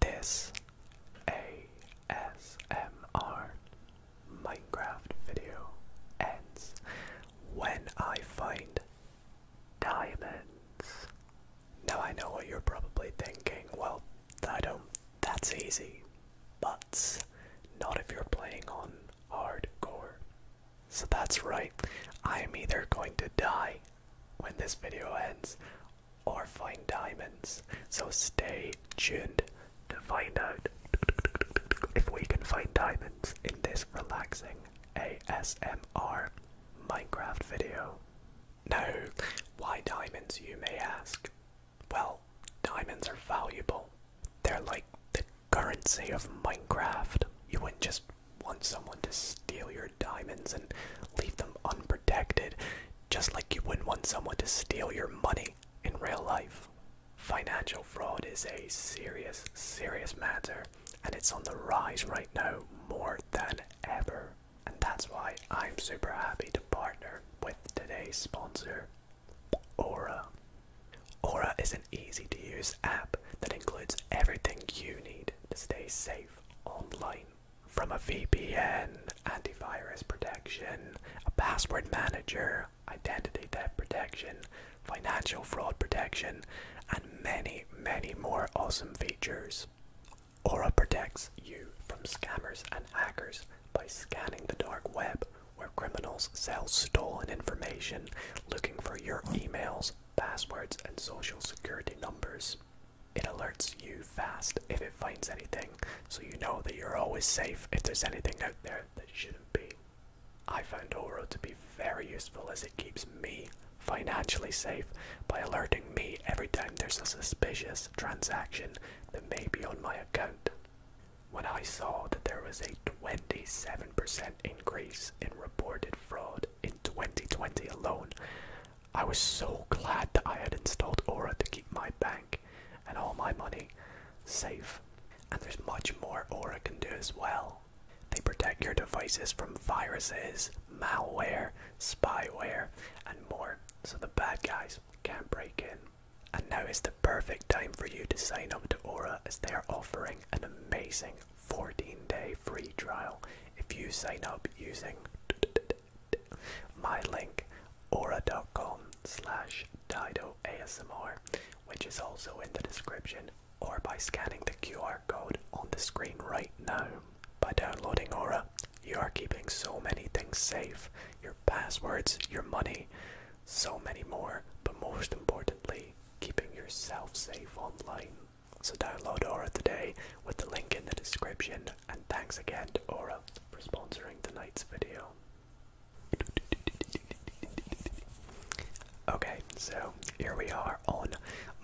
This ASMR Minecraft video ends when I find diamonds. Now I know what you're probably thinking. Well, I don't. That's easy, but not if you're playing on hardcore. So that's right. I am either going to die when this video ends or find diamonds. So stay tuned to find out if we can find diamonds in this relaxing ASMR Minecraft video. No, why diamonds, you may ask? Well, diamonds are valuable. They're like the currency of Minecraft. You wouldn't just want someone to steal your diamonds and leave them unprotected, just like you wouldn't want someone to steal your money in real life. Financial fraud is a serious, serious matter, and it's on the rise right now more than ever. And that's why I'm super happy to partner with today's sponsor, Aura. Aura is an easy to use app that includes everything you need to stay safe online. From a VPN, antivirus protection, a password manager, identity theft protection, financial fraud protection, and many, many more awesome features. Aura protects you from scammers and hackers by scanning the dark web, where criminals sell stolen information looking for your emails, passwords, and social security numbers. It alerts you fast if it finds anything, so you know that you're always safe if there's anything out there that shouldn't be. I find Oro to be very useful as it keeps me financially safe by alerting me every time there's a suspicious transaction that may be on my account. When I saw that there was a 27% increase in reported fraud in 2020 alone, I was so glad that I had installed Aura to keep my bank and all my money safe. And there's much more Aura can do as well. They protect your devices from viruses, malware, spyware, and more, so the bad guys can't break in. And now is the perfect time for you to sign up to Aura as they are offering an amazing 14 day free trial if you sign up using my link aura.com slash dido which is also in the description or by scanning the qr code on the screen right now by downloading aura you are keeping so many things safe passwords, your money, so many more, but most importantly, keeping yourself safe online. So download Aura today with the link in the description, and thanks again to Aura for sponsoring tonight's video. Okay, so here we are on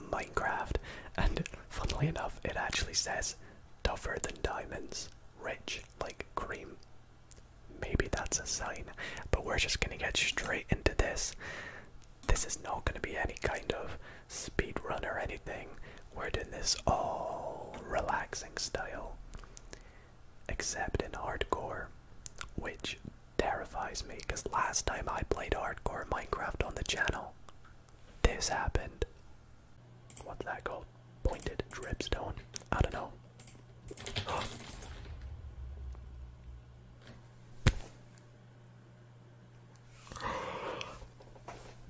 Minecraft, and funnily enough, it actually says Tougher than diamonds, rich like cream. Maybe that's a sign, but we're just gonna get straight into this. This is not gonna be any kind of speed run or anything. We're doing this all relaxing style. Except in hardcore, which terrifies me because last time I played hardcore Minecraft on the channel, this happened. What's that called? Pointed dripstone? I don't know.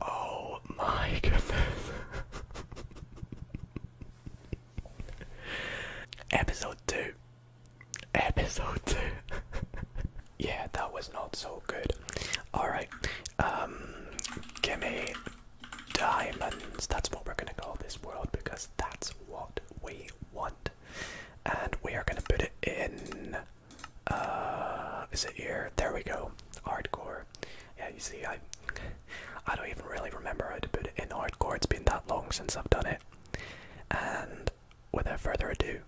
Oh my goodness. Episode 2. Episode 2. yeah, that was not so good. Alright. Um, give me diamonds. That's what we're going to call this world because that's what we want. And we are going to put it in. Uh, is it here? There we go. Hardcore. Yeah, you see, I, I don't even really remember how to put it in hardcore. It's been that long since I've done it. And without further ado,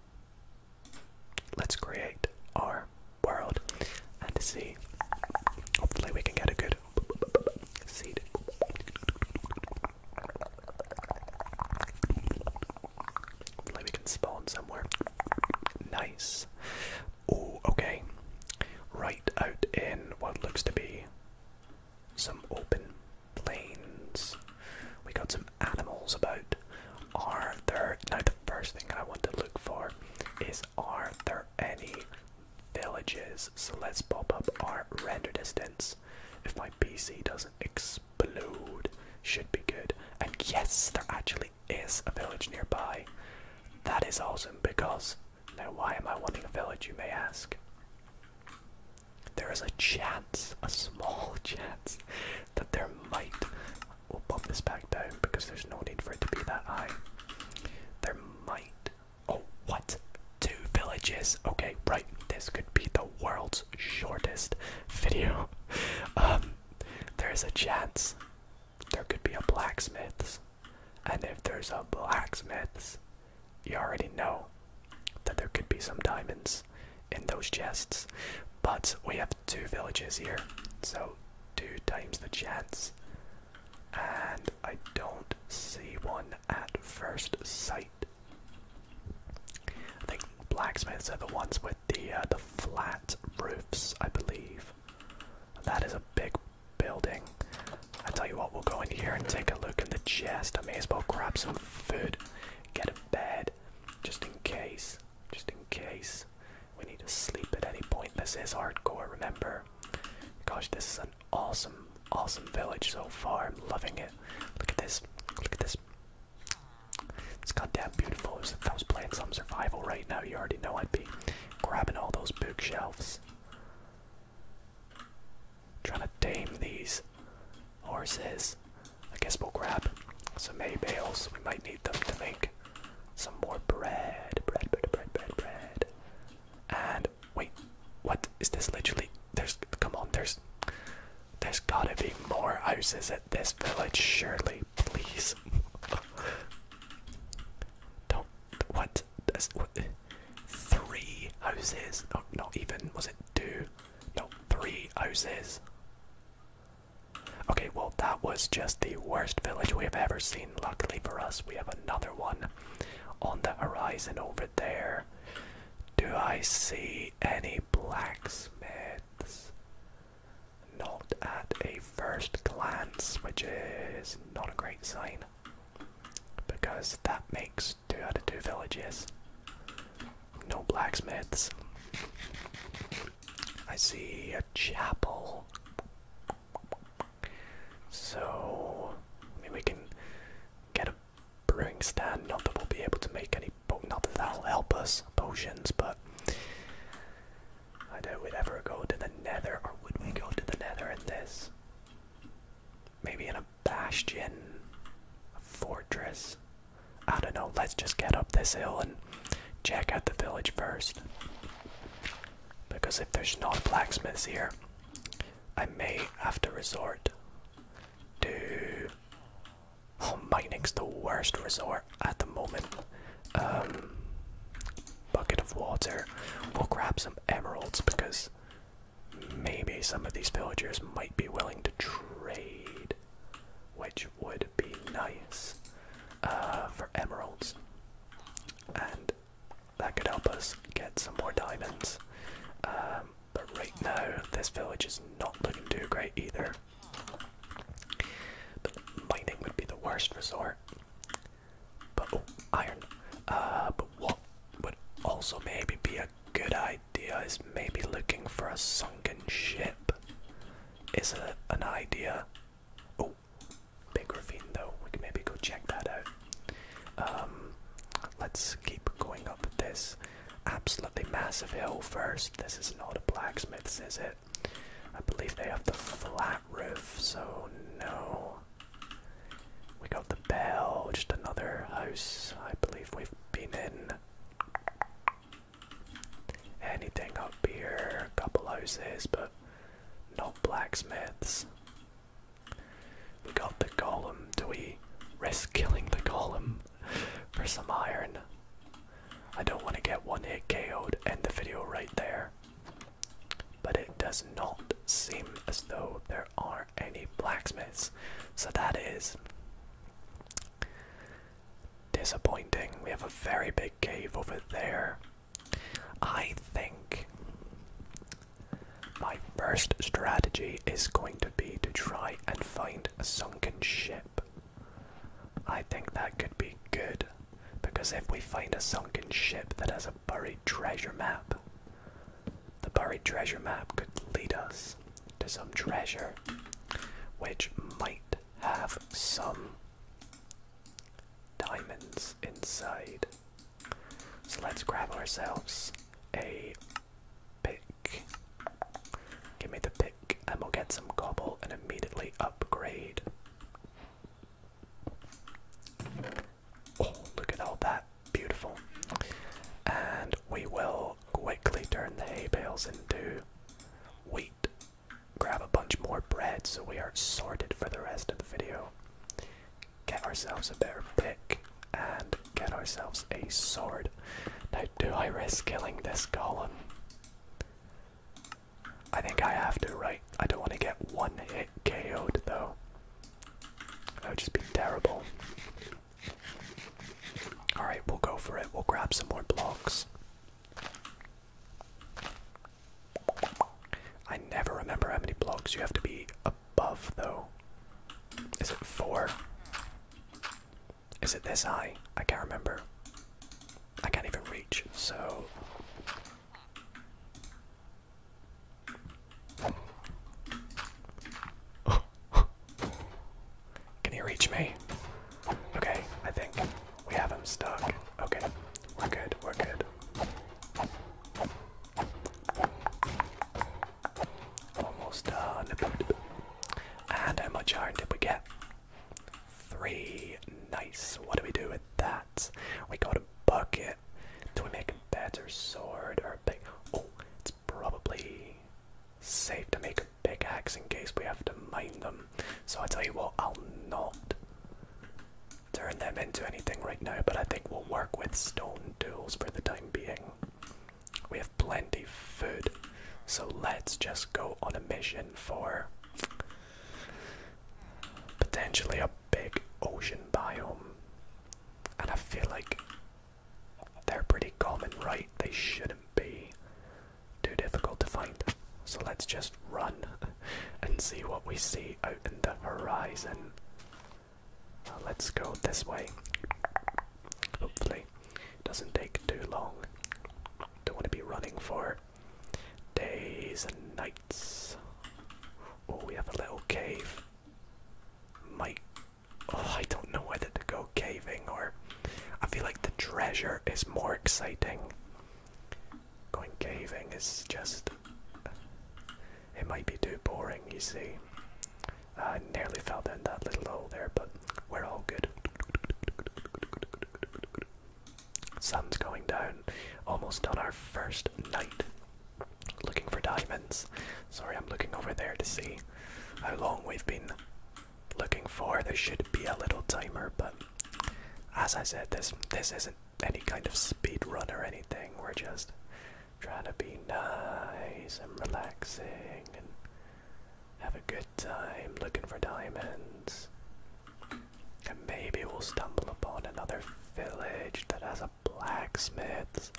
let's create our world and to see. Hopefully, we can get a good seed. Hopefully, we can spawn somewhere. Nice. Oh, okay. Right out in what looks to be some open plains. We got some animals about. Are there now the first thing I want to look for is are there any villages. So let's pop up our render distance. If my PC doesn't explode, should be good. And yes, there actually is a village nearby. That is awesome because now why am I wanting a village, you may ask? There is a chance, a small chance, that there might we'll bump this back down because there's no need for it to be that high. There might Oh, what? Two villages. Okay, right. This could be the world's shortest video. Um, there's a chance there could be a blacksmith's, and if there's a blacksmith's, you already know that there could be some diamonds in those chests. But we have two villages here, so two times the chance and I don't see one at first sight. I think blacksmiths are the ones with the uh, the flat roofs, I believe. That is a big building. I tell you what, we'll go in here and take a look in the chest. I may as well grab some food, get a bed, just in case. Just in case we need to sleep at any point. This is hardcore. Remember, Gosh, this is an awesome, awesome village so far. I'm loving it. Look at this. Look at this. It's goddamn beautiful. If I was playing some survival right now, you already know I'd be grabbing all those bookshelves. Trying to tame these horses. I guess we'll grab some hay bales. We might need them to make some more bread. Bread, bread, bread, bread, bread. And wait, what is this? Literally, there's come on, there's there's gotta be more houses at this village, surely, please. Don't what? That's Three houses? No, not even. Was it two? No, three houses. Okay, well that was just the worst village we have ever seen luckily for us, we have another one on the horizon over there. Do I see any blacksmiths? Not at a first glance, which is not a great sign. Because that makes two out of two villages. No blacksmiths. I see a chapel. So, I we can get a brewing stand. Not that we'll be able to make any, not that that'll help us potions, but I doubt we'd ever go to the Nether, or would we go to the Nether in this? Maybe in a bastion, a fortress. I don't know. Let's just get up this hill and check out the village first. Because if there's not blacksmiths here, I may have to resort to. Oh, mining's the worst resort at the moment. Um, bucket of water. We'll grab some emeralds because maybe some of these villagers might be willing to trade, which would be nice uh, for emeralds. And that could help us get some more diamonds. Um, but right now, this village is not looking too great either. But mining would be the worst resort. But oh, iron. Uh, but what would also maybe be a good idea is maybe looking for a sunken ship. Is it an idea. Oh, big ravine though. We can maybe go check that out. Um, let's keep going up this absolutely massive hill first. This is not a blacksmith's, is it? I believe they have the flat roof, so no. We got the bell, just another house I believe we've been in. Anything up here, a couple houses, but not blacksmiths. We got the golem. Do we risk killing the golem for some iron? I don't want to get one hit KO'd, end the video right there. But it does not seem as though there are any blacksmiths. So that is disappointing. We have a very big cave over there. I think my first strategy is going to be to try and find a sunken ship. I think that could be good because if we find a sunken ship that has a buried treasure map, the buried treasure map could lead us to some treasure which might have some diamonds inside. So let's grab ourselves a pick. Give me the pick, and we'll get some cobble and immediately upgrade. Oh, look at all that. Beautiful. And we will quickly turn the hay bales into wheat. Grab a bunch more bread so we are sorted for the rest of the video get ourselves a better pick and get ourselves a sword. Now, do I risk killing this golem? I think I have to, right? I don't want to get one hit KO'd though. That would just be terrible. Alright, we'll go for it. We'll grab some more blocks. I never remember how many blocks you have to be above, though. Is it four? Is it this high? I can't remember. I can't even reach, so. Can he reach me? Okay, I think we have him stuck. Okay, we're good, we're good. Almost done. And how much iron did we get? Three. Nice. What do we do with that? We got a bucket. Do we make a better sword or a big? Oh, it's probably safe to make a big axe in case we have to mine them. So I tell you what, I'll not turn them into anything right now, but I think we'll work with stone tools for the time being. We have plenty of food, so let's just go on a mission for potentially a big ocean biome. And I feel like they're pretty common, right? They shouldn't be too difficult to find. So let's just run. and see what we see out in the horizon. Uh, let's go this way. Hopefully, it doesn't take too long. Don't want to be running for days and nights. Oh, we have a little cave. Might. Oh, I don't know whether to go caving or. I feel like the treasure is more exciting. Going caving is just it might be too boring, you see. I nearly fell down that little hole there, but we're all good. Sun's going down, almost on our first night. Looking for diamonds. Sorry, I'm looking over there to see how long we've been looking for. There should be a little timer, but as I said, this this isn't any kind of speed run or anything. We're just trying to be nice and relaxing and have a good time looking for diamonds. And maybe we'll stumble upon another village that has a blacksmith.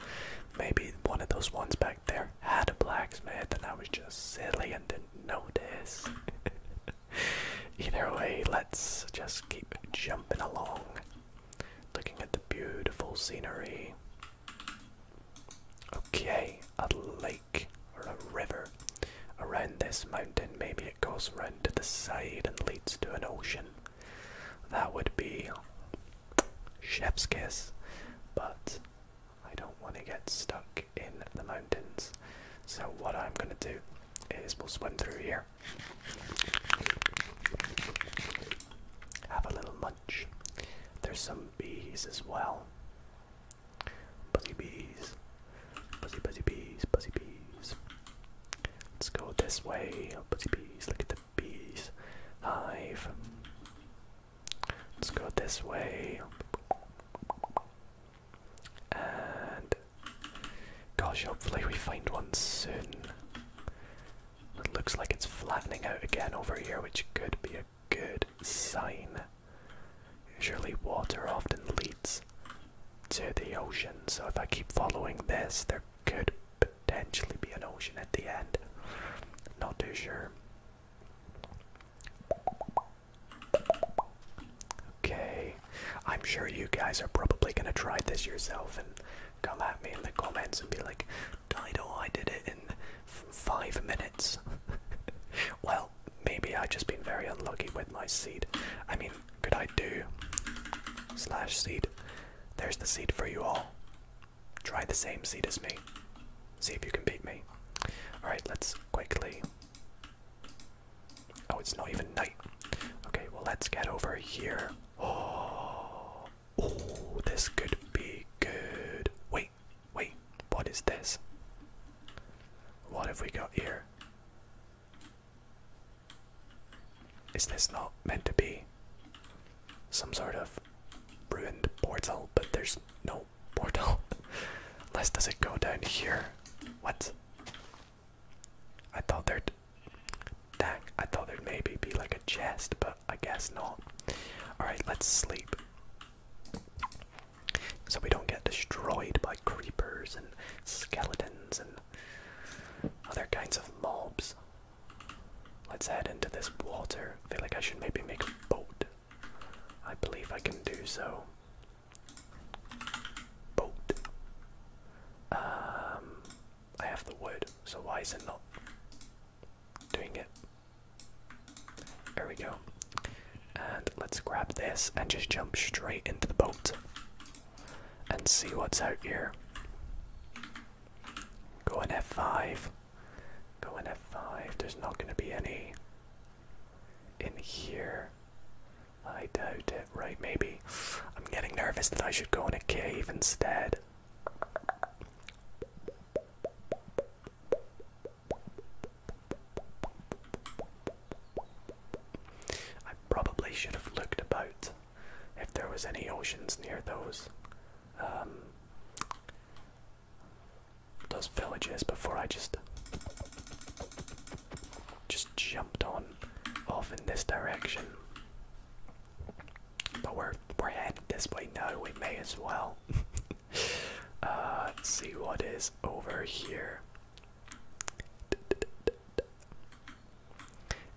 Maybe one of those ones back there had a blacksmith and I was just silly and didn't notice. Either way, let's just keep jumping along looking at the beautiful scenery. Okay, a lake or a river around this mountain. Maybe it goes round to the side and leads to an ocean. That would be chef's kiss, but I don't want to get stuck in the mountains. So, what I'm going to do is we'll swim through here. Have a little munch. There's some bees as well. Buzzy bees. Buzzy, buzzy bees, buzzy bees. Let's go this way. Buzzy bees, look at the bees. Hive. Let's go this way. And Gosh, hopefully we find one soon. It looks like it's flattening out again over here, which could be a good sign. Surely water often leads to the ocean, so if I keep following this, there could potentially be an ocean at the end. Not too sure. Okay. I'm sure you guys are probably gonna try this yourself and come at me in the comments and be like, Dido, I did it in five minutes. well, maybe I've just been very unlucky with my seed. I mean, could I do slash seed? There's the seed for you all. Try the same seed as me. See if you can beat me. Alright, let's quickly. Oh, it's not even night. Okay, well, let's get over here. Oh, oh, this could be good. Wait, wait, what is this? What have we got here? Is this not meant to be some sort of ruined portal? But there's no portal. Unless does it go down here? What? I thought there'd dang, I thought there'd maybe be like a chest, but I guess not. Alright, let's sleep. So we don't get destroyed by creepers and skeletons and other kinds of mobs. Let's head into this water. I feel like I should maybe make a boat. I believe I can do so. Boat. Um I have the wood, so why is it not doing it? There we go. And let's grab this and just jump straight into the boat and see what's out here. Go in F5. Go in F5. There's not going to be any in here. I doubt it. Right, maybe. I'm getting nervous that I should go in a cave instead. I probably should have looked about if there was any oceans near those um, those villages before I just just jumped on off in this direction. But we're we're headed this way now. We may as well. Uh, see what is over here.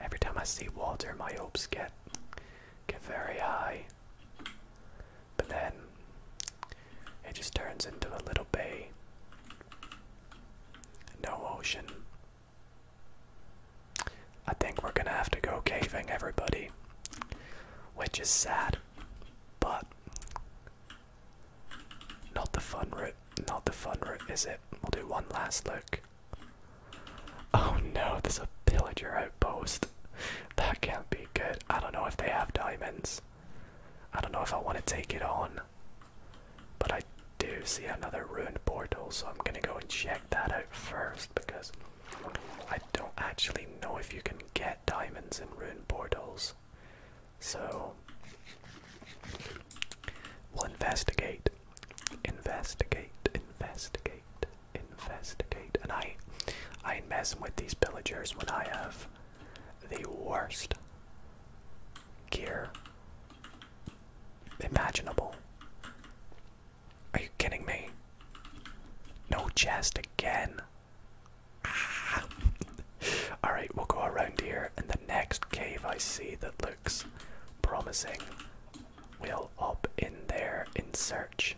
Every time I see water, my hopes get get very high. But then it just turns into a little bay. No ocean, I think we're gonna have to go caving, everybody. Which is sad, but not the fun route. Not the fun route, is it? We'll do one last look. Oh no, there's a pillager outpost. That can't be good. I don't know if they have diamonds. I don't know if I want to take it on. But I do see another ruined portal, so I'm gonna go and check that out first because I don't actually know if you can get diamonds in ruined portals. So we'll investigate. Investigate, investigate, investigate. And I I ain't messing with these pillagers when I have the worst gear imaginable. Are you kidding me? No chest again. Alright, we'll go around here, and the next cave I see that looks promising, we'll up in there in search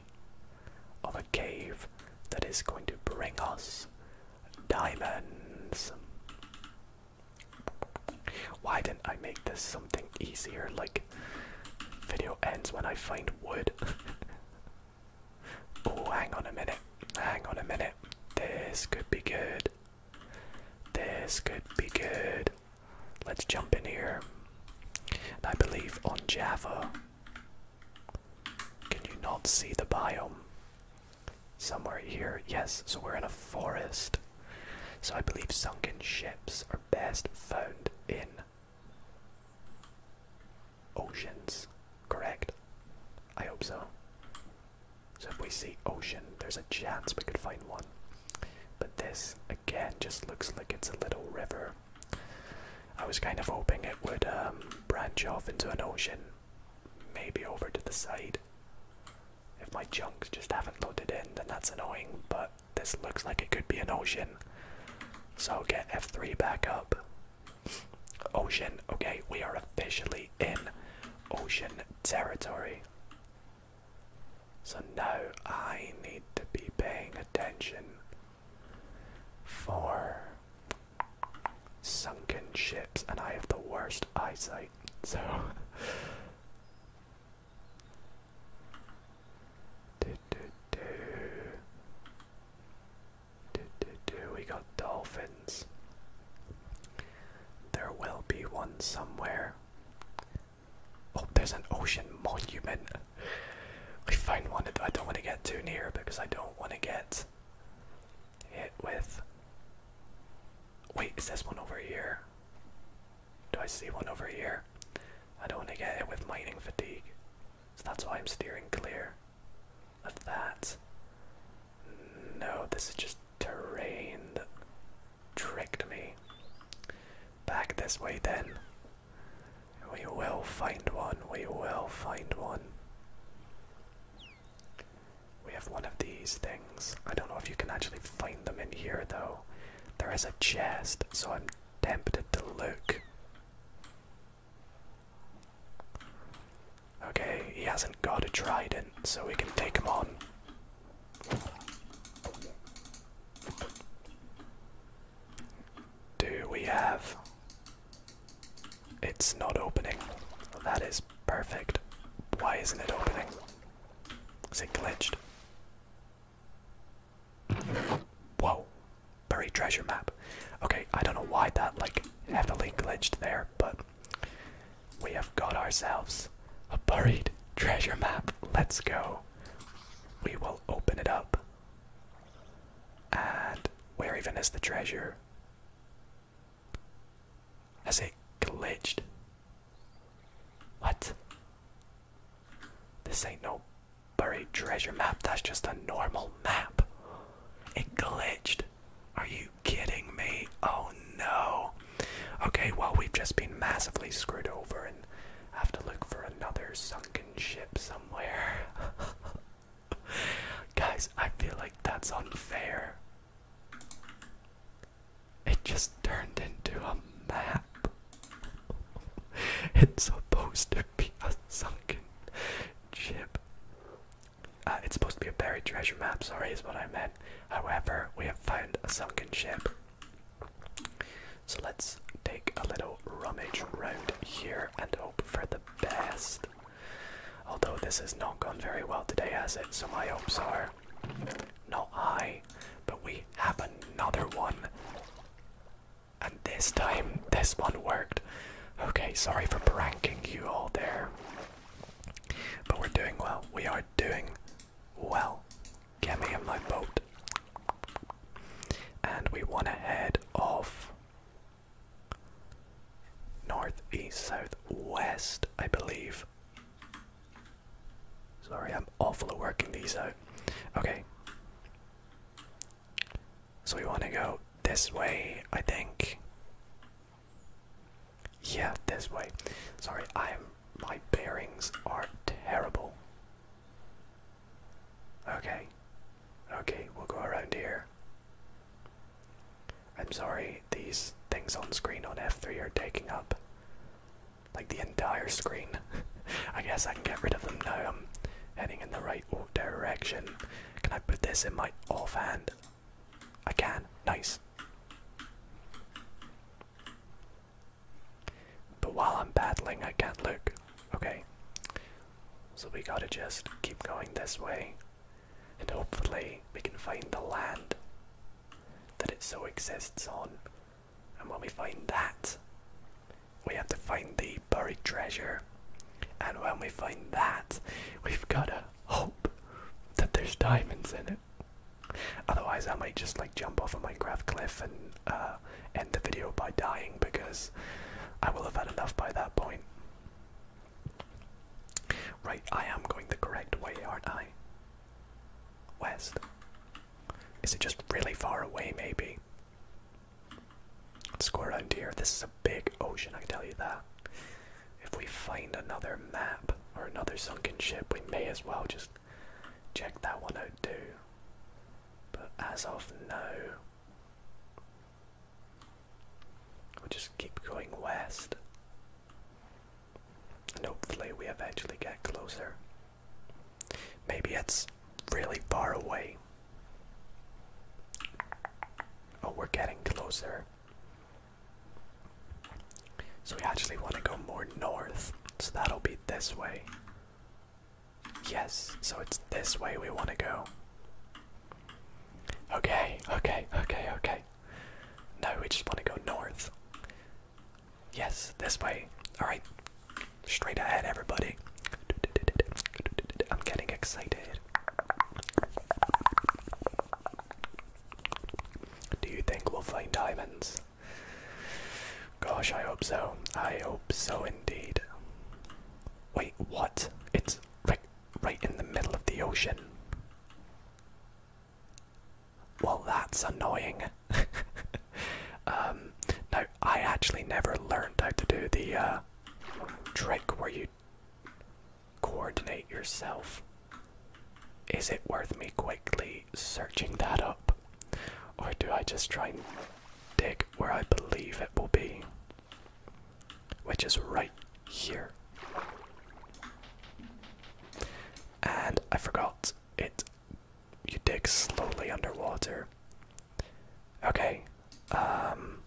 of a cave that is going to bring us diamonds. Why didn't I make this something easier? Like, video ends when I find wood. oh, hang on a minute. Hang on a minute. This could be good. This could be good. Let's jump in here. I believe on Java. Can you not see the biome? Somewhere here. Yes, so we're in a forest. So I believe sunken ships are best found in oceans, correct? I hope so. So if we see ocean, there's a chance we could find one. But this, again, just looks like it's a little river. I was kind of hoping it would um, branch off into an ocean, maybe over to the side. If my junks just haven't loaded in, then that's annoying, but this looks like it could be an ocean. So get F3 back up. Ocean, okay, we are officially in ocean territory. So now I need to be paying attention for sunken ships, and I have the worst eyesight, so Do, do, do. Do, do, do. We got dolphins. There will be one somewhere. Oh, there's an ocean monument. We find one I don't want to get too near because I don't want to get hit with. Wait, is this one over here? Do I see one over here? I don't want to get it with mining fatigue. So that's why I'm steering clear of that. No, this is just terrain that tricked me. Back this way then. We will find one, we will find one. We have one of these things. I don't know if you can actually find them in here though. There is a chest, so I'm tempted to look. Okay, he hasn't got a trident, so we can take him on. Do we have. It's not opening. That is perfect. Why isn't it opening? Is it glitched? Whoa, buried treasure map. Okay, I don't know why that like heavily glitched there, but we have got ourselves a buried treasure map. Let's go. We will open it up. And where even is the treasure? Has it glitched? What? This ain't no buried treasure map, that's just a normal map. It glitched. Are you kidding me? Oh no. Okay, well, we've just been massively screwed over and have to look for another sunken ship somewhere. Guys, I feel like that's unfair. It just turned into a map. it's supposed to be a sunken ship. Uh, it's supposed to be a buried treasure map, sorry, is what I meant. However, we have found a sunken ship. So let's take a little rummage round here and hope for the best. Although this has not gone very well today, has it? So my hopes are not I, but we have another one. And this time, this one worked. Okay, sorry for pranking you all there. But we're doing well. We are doing well. Get me in my boat. And we want to head off north, east, south, west, I believe. Sorry, I'm awful at working these out. Okay. So we want to go this way, I think. Yeah, this way. Sorry, I'm my bearings are terrible. Okay. Okay, we'll go around here. I'm sorry, these things on screen on F3 are taking up like the entire screen. I guess I can get rid of them now. I'm heading in the right direction. Can I put this in my offhand? I can. Nice. But while I'm paddling, I can't look. Okay. So we gotta just keep going this way. And hopefully, we can find the land that it so exists on. And when we find that, we have to find the buried treasure. And when we find that, we've gotta hope that there's diamonds in it. Otherwise, I might just like jump off a Minecraft cliff and uh, end the video by dying because I will have had enough by that point. Right, I am going the correct way, aren't I? West. Is it just really far away, maybe? Score on here. This is a big ocean, I can tell you that. If we find another map or another sunken ship, we may as well just check that one out too. But as of now, we just keep going west. And hopefully we eventually get closer. Maybe it's really far away. Oh, we're getting closer. So we actually want to go more north. So that'll be this way. Yes, so it's this way we want to go. Okay, okay, okay, okay. No, we just want to go north. Yes, this way. Alright, straight ahead, everybody. I'm getting excited. Do you think we'll find diamonds? Gosh, I hope so. I hope so indeed. Wait, what? It's right, right in the middle of the ocean. Well, that's annoying. um, I actually never learned how to do the uh, trick where you coordinate yourself. Is it worth me quickly searching that up? Or do I just try and dig where I believe it will be? Which is right here. And I forgot, it you dig slowly underwater. Okay, um,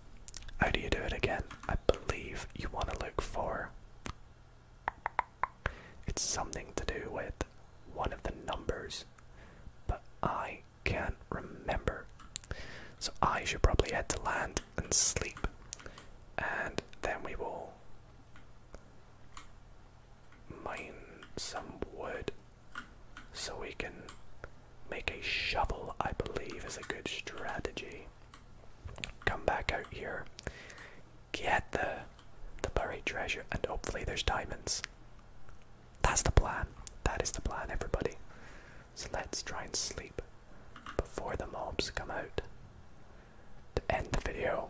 how do you do it again? I believe you want to look for. It's something to do with one of the numbers, but I can't remember. So I should probably head to land and sleep, and then we will mine some wood so we can make a shovel, I believe, is a good strategy. Come back out here, get the the buried treasure, and hopefully there's diamonds. That's the plan. That is the plan, everybody. So let's try and sleep before the mobs come out. To end the video.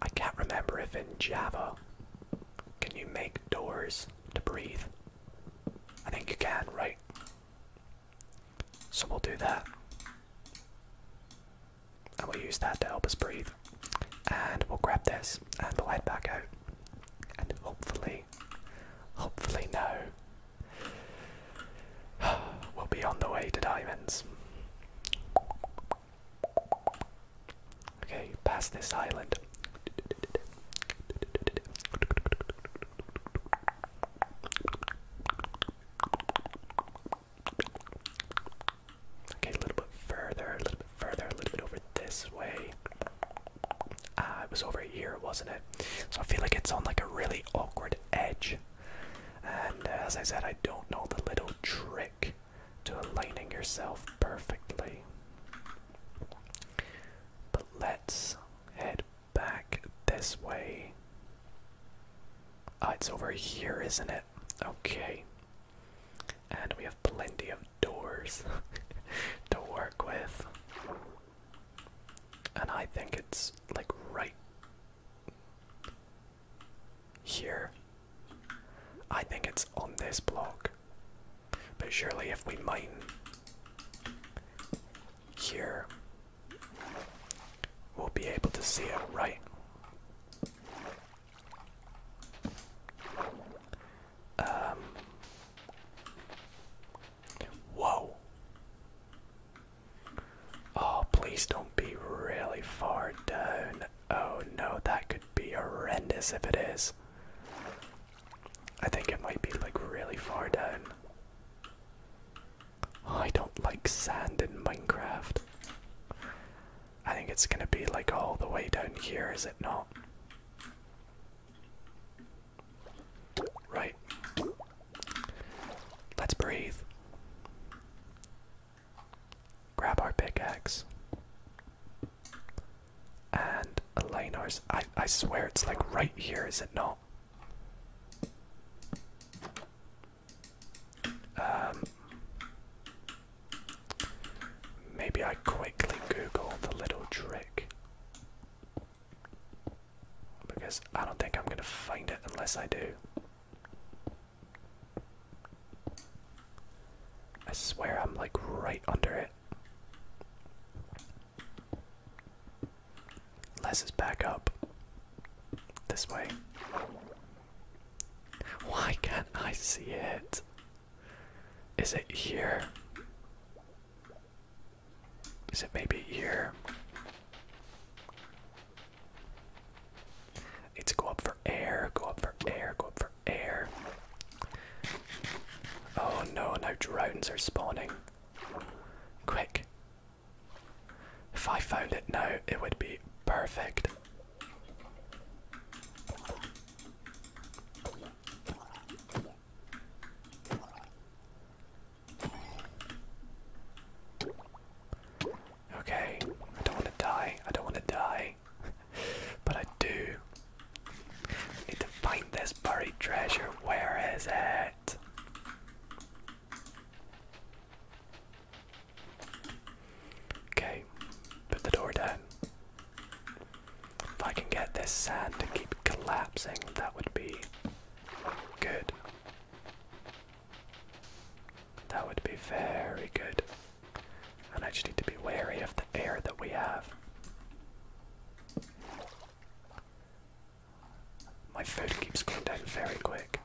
I can't remember if in Java can you make doors to breathe. I think you can, right? So we'll do that. And we'll use that to help us breathe. And we'll grab this and we'll head back out. And hopefully, hopefully now, we'll be on the way to diamonds. Okay, past this island. Okay, a little bit further, a little bit further, a little bit over this way. Ah, it was over here, wasn't it? So I feel like it's on like a really awkward edge. And uh, as I said, I don't know the little trick to aligning yourself perfectly. But let's head back this way. Ah, it's over here, isn't it? Okay. And we have plenty of doors to work with. And I think it's like right here. I think it's on this block. But surely if we mine here, we'll be able to see it, right? Um. Whoa. Oh, please don't be really far down. Oh no, that could be horrendous if it is. I think it might be like really far down. I don't like sand in Minecraft. I think it's gonna be like all the way down here, is it not? Right. Let's breathe. Grab our pickaxe. And Elena's. I, I swear it's like right here, is it not? Um, maybe I quickly Google the little trick. Because I don't think I'm going to find it unless I do. I swear I'm like right under it. Let's just back up. This way. Why can't I see it? Is it here? Is it maybe here? I need to go up for air, go up for air, go up for air. Oh no, now drowns are spawning. Quick. If I found it now, it would be perfect. Okay, I don't want to die. I don't want to die. but I do need to find this buried treasure. Where is it? Okay, put the door down. If I can get this sand to keep collapsing, that would be good. That would be very good. And I just need to be wary of the air that we have. My food keeps going down very quick.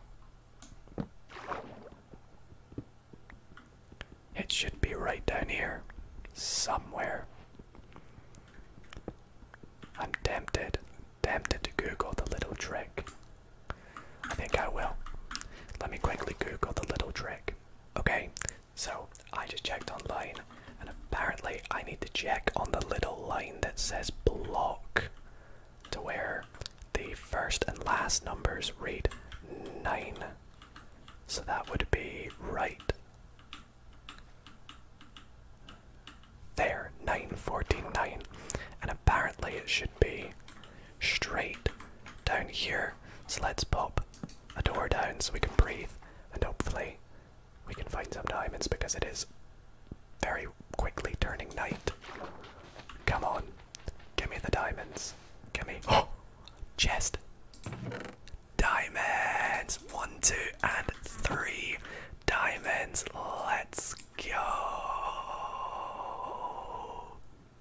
It should be right down here, somewhere. I'm tempted, tempted to Google the little trick. I think I will. Let me quickly Google the little trick. Okay, so I just checked online, and apparently I need to check on the little line that says block to where the first and last numbers read 9. So that would be right. There, 949. And apparently it should be straight down here. So let's pop a door down so we can breathe and hopefully we can find some diamonds because it is very quickly turning night. Come on, give me the diamonds. Give me. Oh! Chest! Diamonds! One, two, and three diamonds. Let's go!